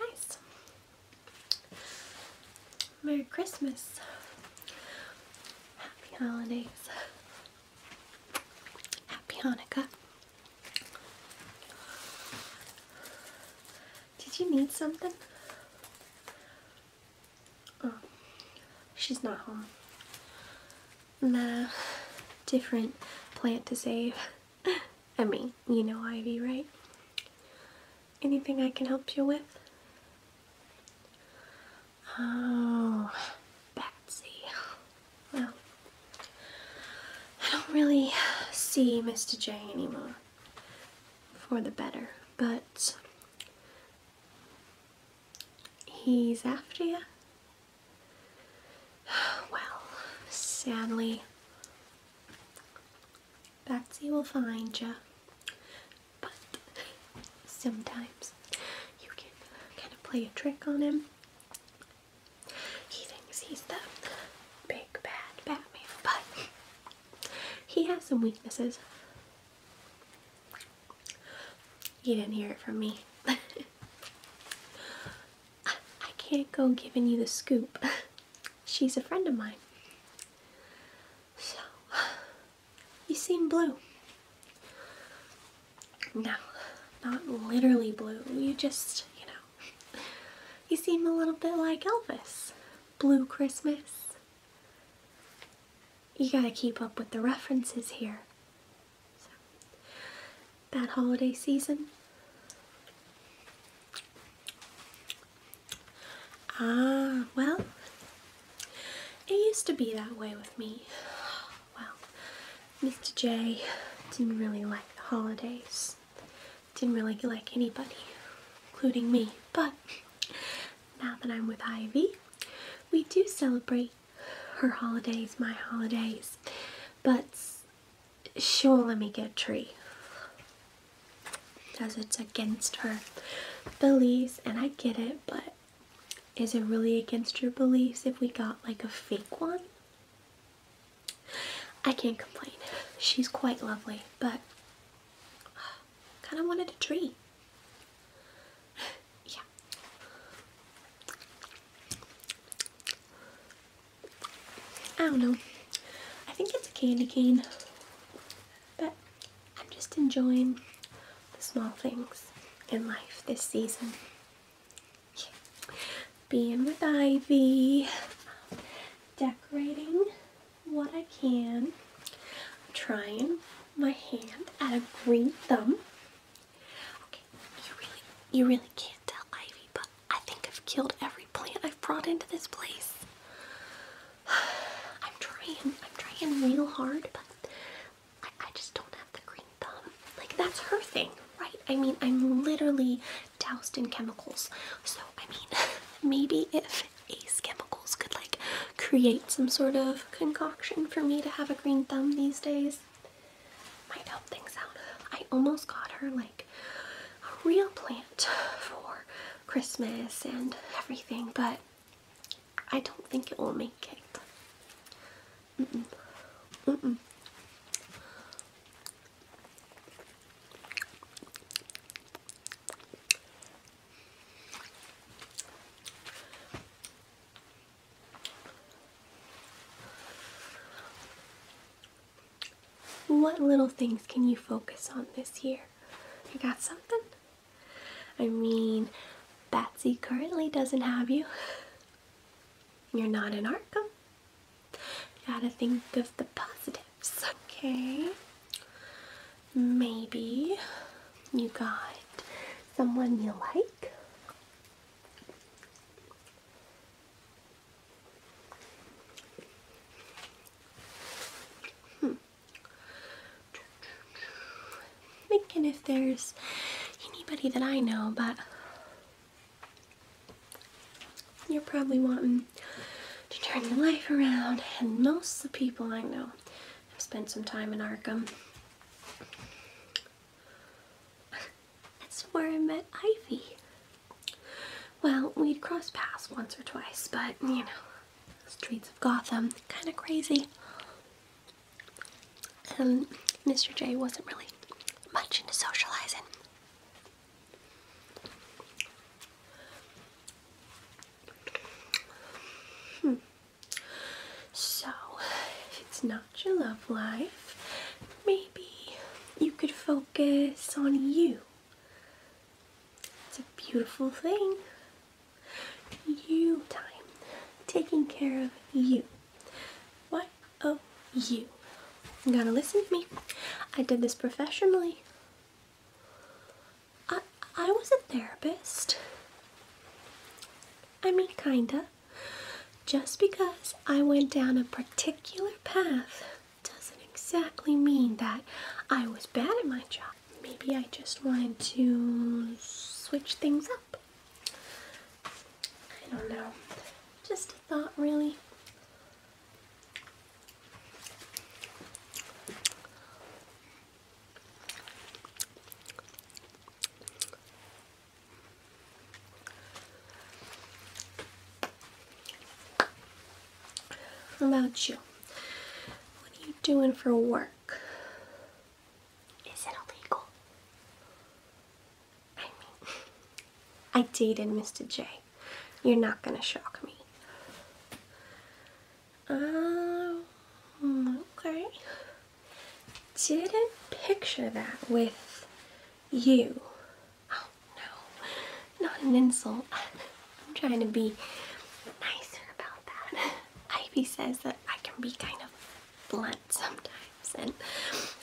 Nice. Merry Christmas. Happy holidays. Happy Hanukkah. Did you need something? Oh, she's not home nah, different plant to save. I mean, you know Ivy, right? Anything I can help you with? Oh, Betsy. Well, I don't really see Mr. J anymore. For the better, but he's after you. Well, sadly, Betsy will find you, but sometimes you can kind of play a trick on him. He thinks he's the big bad Batman, but he has some weaknesses. You didn't hear it from me. I, can't go giving you the scoop. She's a friend of mine. So, you seem blue. No, not literally blue. You just, you know, you seem a little bit like Elvis. Blue Christmas. You gotta keep up with the references here. So, that holiday season, ah, well, it used to be that way with me. Well, Mr. J didn't really like the holidays, didn't really like anybody, including me, but now that I'm with Ivy, we do celebrate her holidays, my holidays, but she will let me get a tree because it's against her beliefs, and I get it, but is it really against your beliefs if we got like a fake one? I can't complain. She's quite lovely, but kind of wanted a tree yeah. I don't know. I think it's a candy cane, but I'm just enjoying the small things in life this season. Being with Ivy, decorating what I can, trying my hand at a green thumb Okay, you really, you really can't tell Ivy, but I think I've killed every plant I've brought into this place. I'm trying, I'm trying real hard, but I, I just don't have the green thumb. Like that's her thing, right? I mean, I'm literally doused in chemicals. So I mean, maybe if Ace Chemicals could like create some sort of concoction for me to have a green thumb these days, might help things out. I almost got her like a real plant for Christmas and everything, but I don't think it will make it. What little things can you focus on this year? You got something? I mean, Batsy currently doesn't have you. You're not in Arkham. Gotta think of the positives. Okay. Maybe you got someone you like. Hmm. Thinking if there's anybody that I know, but you're probably wanting to turn your life around, and most of the people I know have spent some time in Arkham. That's where I met Ivy. Well, we'd cross paths once or twice, but you know, streets of Gotham, kind of crazy. And um, Mr. J wasn't really much into socializing. Hmm. So, if it's not your love life, maybe you could focus on you. It's a beautiful thing. You time. Taking care of you. What of you? You gotta listen to me. I did this professionally. I, I was a therapist. I mean, kinda. Just because I went down a particular path doesn't exactly mean that I was bad at my job. Maybe I just wanted to switch things up. I don't know. Just a thought, really. What about you? What are you doing for work? Is it illegal? I mean, I dated Mr. J. You're not gonna shock me. Um, okay didn't picture that with you. Oh no, not an insult. I'm trying to be nicer about that. Ivy says that I can be kind of blunt sometimes, and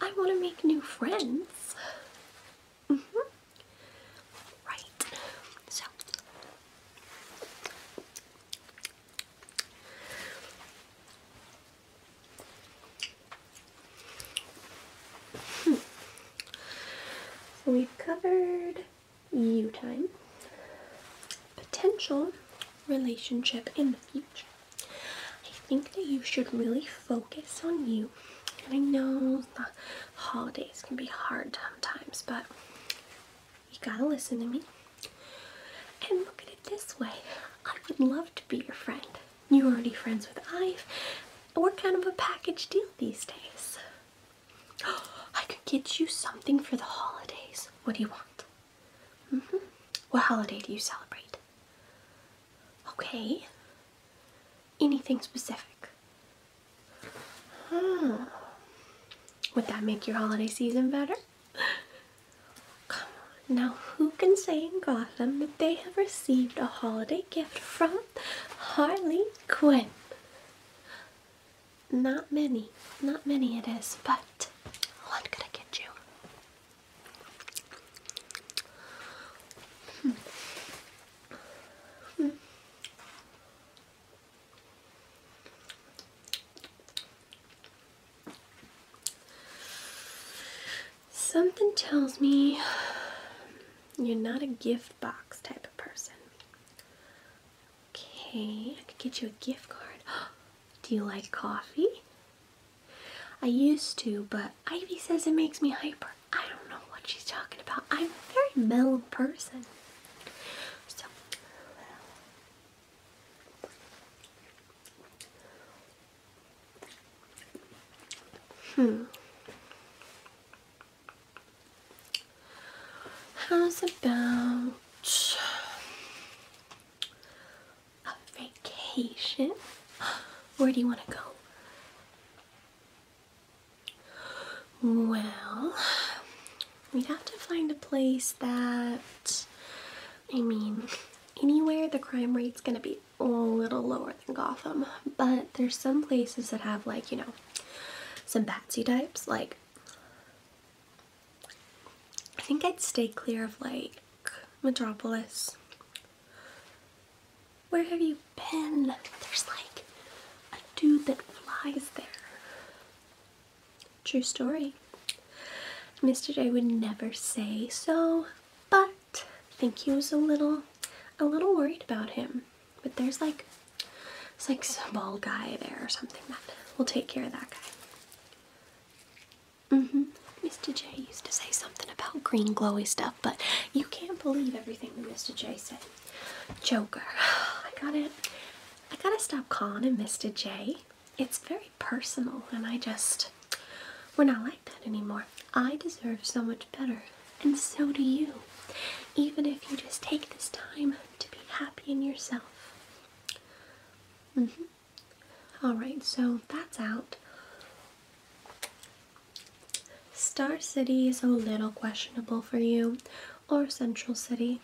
I want to make new friends. Mm -hmm. Right. So. So hmm. we've covered you time, potential relationship in the future. I think that you should really focus on you. I know the holidays can be hard sometimes, but you gotta listen to me. And look at it this way I would love to be your friend. You're already friends with Ive. We're kind of a package deal these days. I could get you something for the holidays. What do you want? Mm hmm. What holiday do you celebrate? Okay. Anything specific? Hmm. Would that make your holiday season better? now who can say in Gotham that they have received a holiday gift from Harley Quinn? Not many, not many it is, but what could I get you? Something tells me you're not a gift box type of person. Okay, I could get you a gift card. Do you like coffee? I used to, but Ivy says it makes me hyper. I don't know what she's talking about. I'm a very mellow person. Hmm. How's about a vacation? Where do you want to go? Well, we'd have to find a place that I mean, anywhere the crime rate's gonna be a little lower than Gotham, but there's some places that have like, you know, some batsy types. Like, I think I'd stay clear of like Metropolis. Where have you been? There's like a dude that flies there. True story. Mr. J would never say so, but I think he was a little a little worried about him. But there's like it's like some bald guy there or something that will take care of that guy. Mm-hmm. Mr. J used to say something about green glowy stuff, but you can't believe everything that Mr. J said. Joker. I got it. I gotta stop calling him Mr. J. It's very personal, and I just. We're not like that anymore. I deserve so much better, and so do you. Even if you just take this time to be happy in yourself. Mm-hmm. Alright, so that's out. Star City is a little questionable for you, or Central City.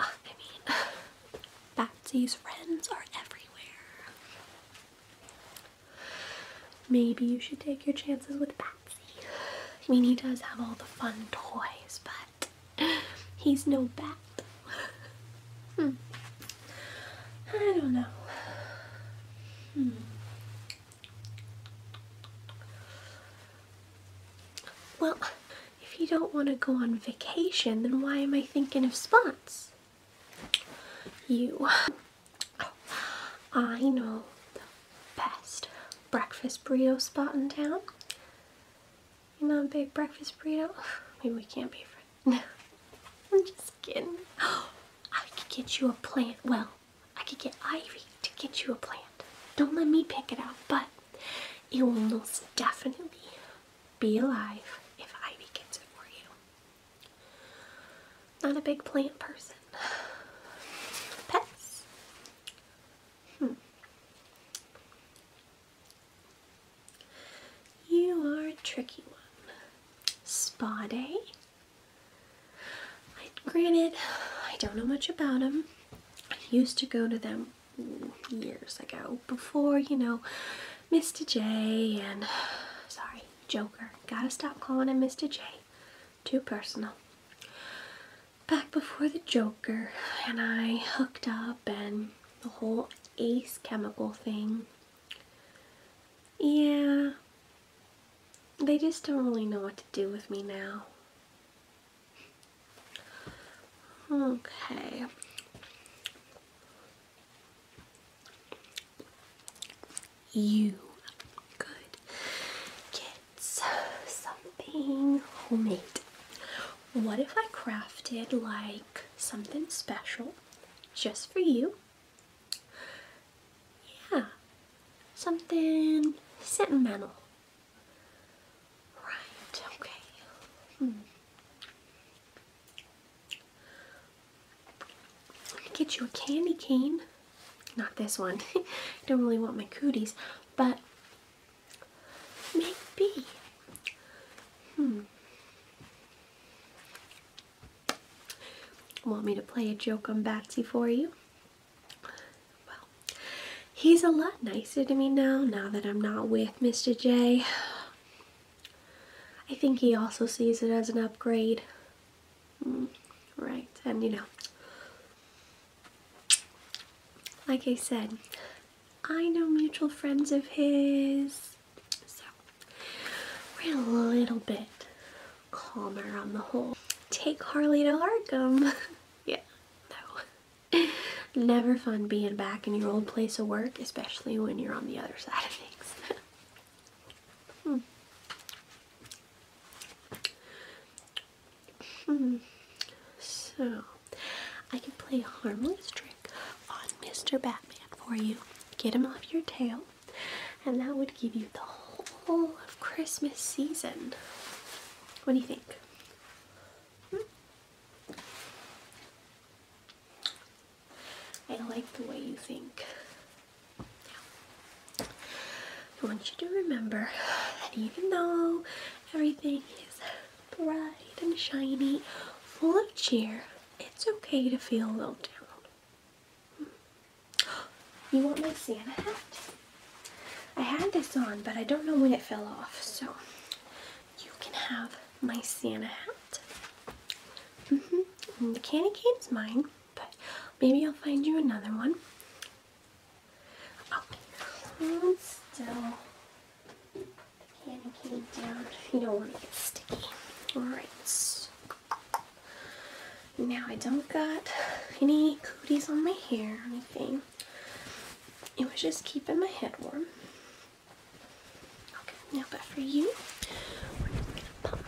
Oh, I mean, Batsy's friends are everywhere. Maybe you should take your chances with Batsy. I mean, he does have all the fun toys, but he's no bat. Hmm. I don't know. Hmm. Well, if you don't want to go on vacation, then why am I thinking of spots? You. I know the best breakfast burrito spot in town. You're not a big breakfast burrito? Maybe we can't be friends. No, I'm just kidding. I could get you a plant. Well, I could get Ivy to get you a plant. Don't let me pick it out, but it will most definitely be alive if I gets it for you. Not a big plant person. Pets? Hmm. You are a tricky one. Spa day? granted, I don't know much about them. I used to go to them years ago before, you know, Mr. J and, sorry, Joker. Gotta stop calling him Mr. J. Too personal. Back before the Joker and I hooked up and the whole ace chemical thing. Yeah, they just don't really know what to do with me now. Okay. You could get something homemade. What if I crafted like something special just for you? Yeah, something sentimental. Right, okay. I'm hmm. gonna get you a candy cane. Not this one. I don't really want my cooties, but maybe. Hmm. Want me to play a joke on Batsy for you? Well, he's a lot nicer to me now, now that I'm not with Mr. J. I think he also sees it as an upgrade. Mm, right, and you know, like I said, I know mutual friends of his, so we're a little bit calmer on the whole. Take Harley to Arkham. yeah, Never fun being back in your old place of work, especially when you're on the other side of things. Hmm. Hmm. So, I can play a harmless trick on Mr. Batman for you. Get him off your tail, and that would give you the whole of Christmas season. What do you think? Hmm? I like the way you think. I want you to remember that even though everything is bright and shiny, full of cheer, it's okay to feel a little down. You want my Santa hat? I had this on, but I don't know when it fell off, so you can have my Santa hat. Mm-hmm. the candy cane is mine, but maybe I'll find you another one. Okay, hold still. The candy cane down. You don't want to get sticky. Alright. Now I don't got any cooties on my hair or anything. It was just keeping my head warm. Okay, now but for you, we're just gonna pump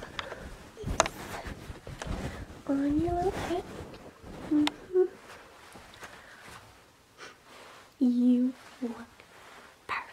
these on your little head. You look perfect.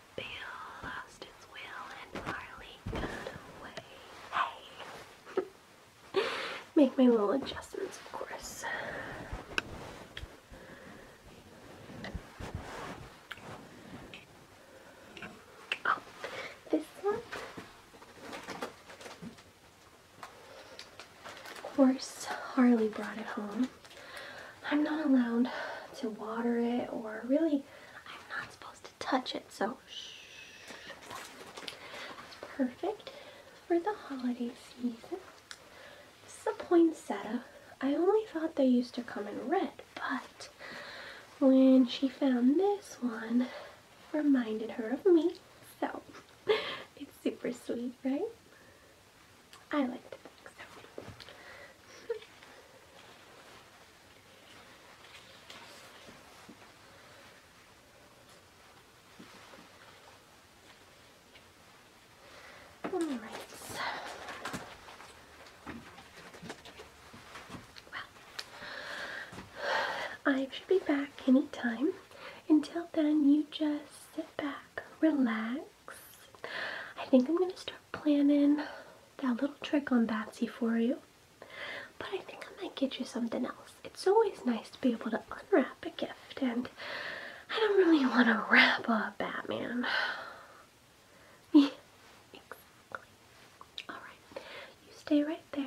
bill lost its will and Marley got away. Hey! Make my little adjustments, of course. Oh, this one. Of course, Harley brought it home. I'm not allowed to water it or really I'm not supposed to touch it so it's perfect for the holiday season. This is a poinsettia. I only thought they used to come in red but when she found this one reminded her of me so it's super sweet right? I like to so. All right. Well, I should be back anytime. Until then, you just sit back, relax, I think I'm going to start planning that little trick on Batsy for you. But I think I might get you something else. It's always nice to be able to unwrap a gift, and I don't really want to wrap a Batman. yeah, exactly. Alright, you stay right there.